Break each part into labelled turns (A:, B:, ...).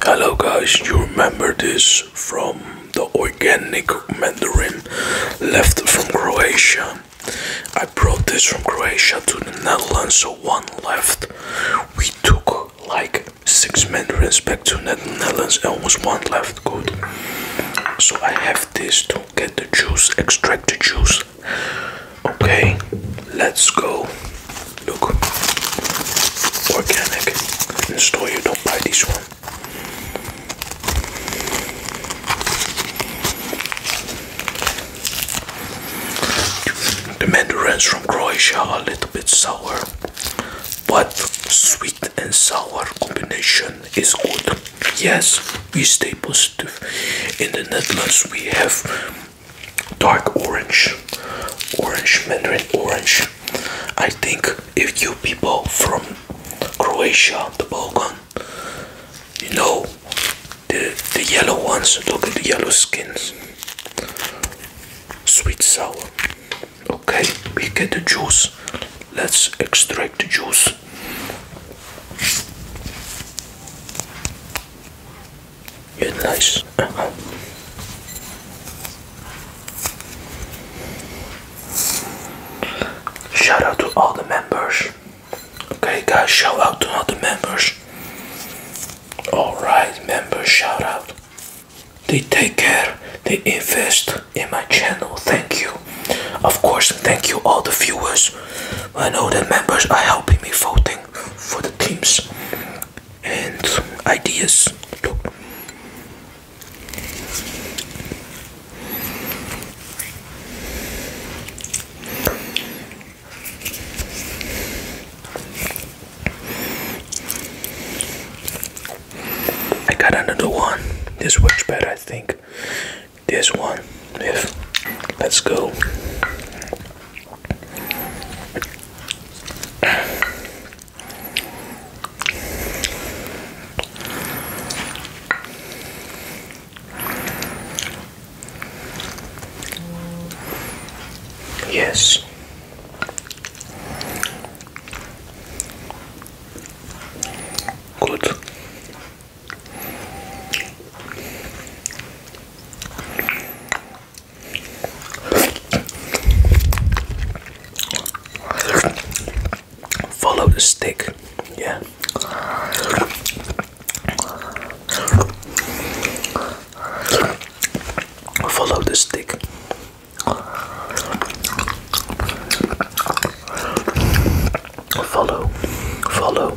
A: Hello guys, you remember this from the organic mandarin left from Croatia. I brought this from Croatia to the Netherlands, so one left. We took like six mandarins back to Netherlands and was one left good. So I have this to get the juice, extract the juice. Okay, let's go. Look, organic. In store you don't buy this one. The mandarins from Croatia are a little bit sour, but sweet and sour combination is good. Yes, we stay positive. In the Netherlands, we have dark orange, orange mandarin orange. I think if you people from Croatia, the Balkan, you know the the yellow ones. Look at the yellow skins. Sweet sour. Okay, we get the juice. Let's extract the juice. You're nice. Shout out to all the members. Okay, guys, shout out to all the members. Alright, members, shout out. They take care, they invest in my channel. Thank you. Of course, thank you, all the viewers. I know that members are helping me voting for the teams and ideas. Look. I got another one. This works better, I think. This one. If let's go. Yes. Good. Follow the stick, yeah. Follow the stick. Follow, follow.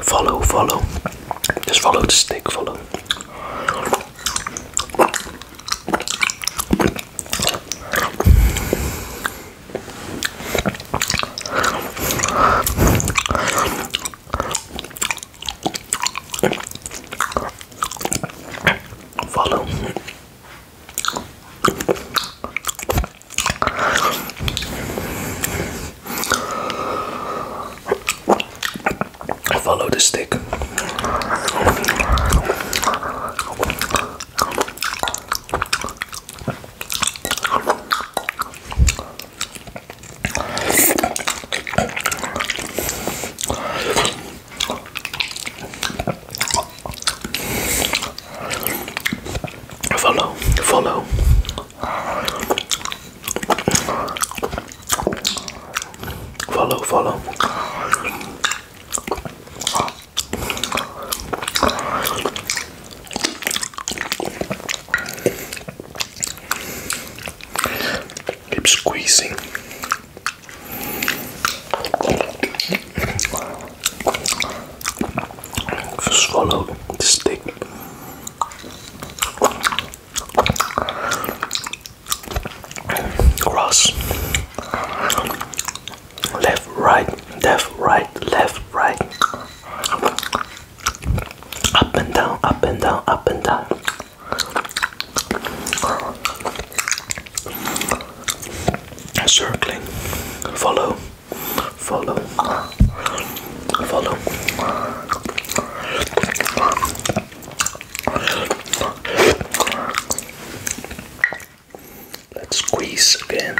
A: Follow, follow. Just follow de stick, follow. Follow. Follow the stick. Follow, follow. Follow, follow. Keep squeezing. Swallow the stick. Cross. Left, right, left, right, left, right. Up and down, up and down, up and down. Circling, follow follow, follow. Let's squeeze again.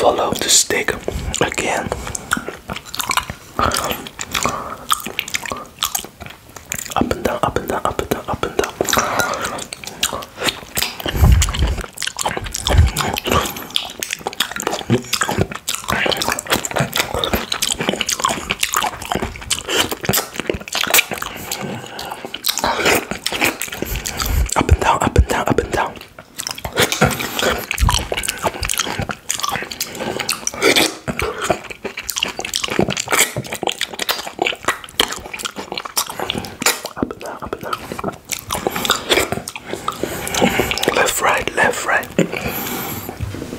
A: Follow the stick again. Up and down, up and down, up and down, up and down. Up and down, up and down, up and down. Left, right, left, right.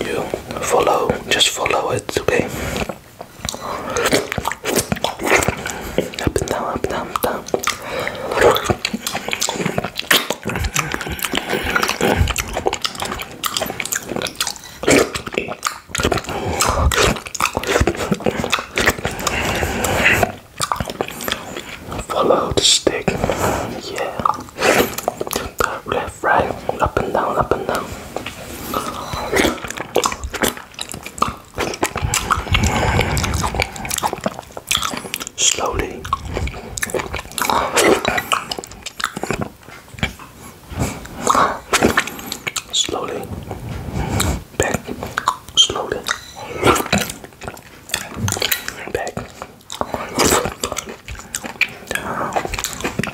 A: You follow, just follow it, okay? Up and down, up and down, Follow the stick, yeah. Left, right, up and down, up and down. Slowly. Slowly. Back. Slowly. Back.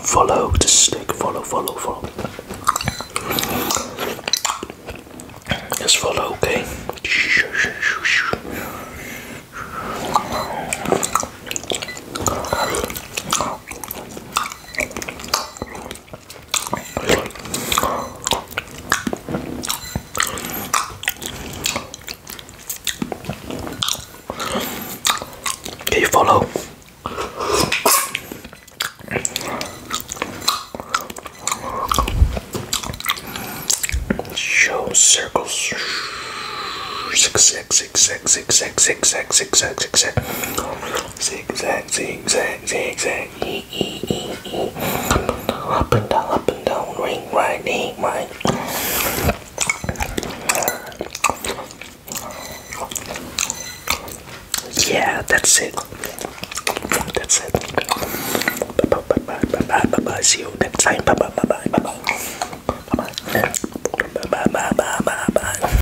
A: Follow the snake, follow, follow, follow. Just follow, okay? Can you follow? Show circles. Six, six, six, six, six, six, six, six, six, six, six. Zigzag, zigzag, zigzag. E e e e. Up and down, up and down. Ring, right, ring, right. Yeah, that's it. That's it. Bye bye bye bye bye bye bye. See you next time. Bye bye bye bye bye bye. Bye bye bye bye bye bye.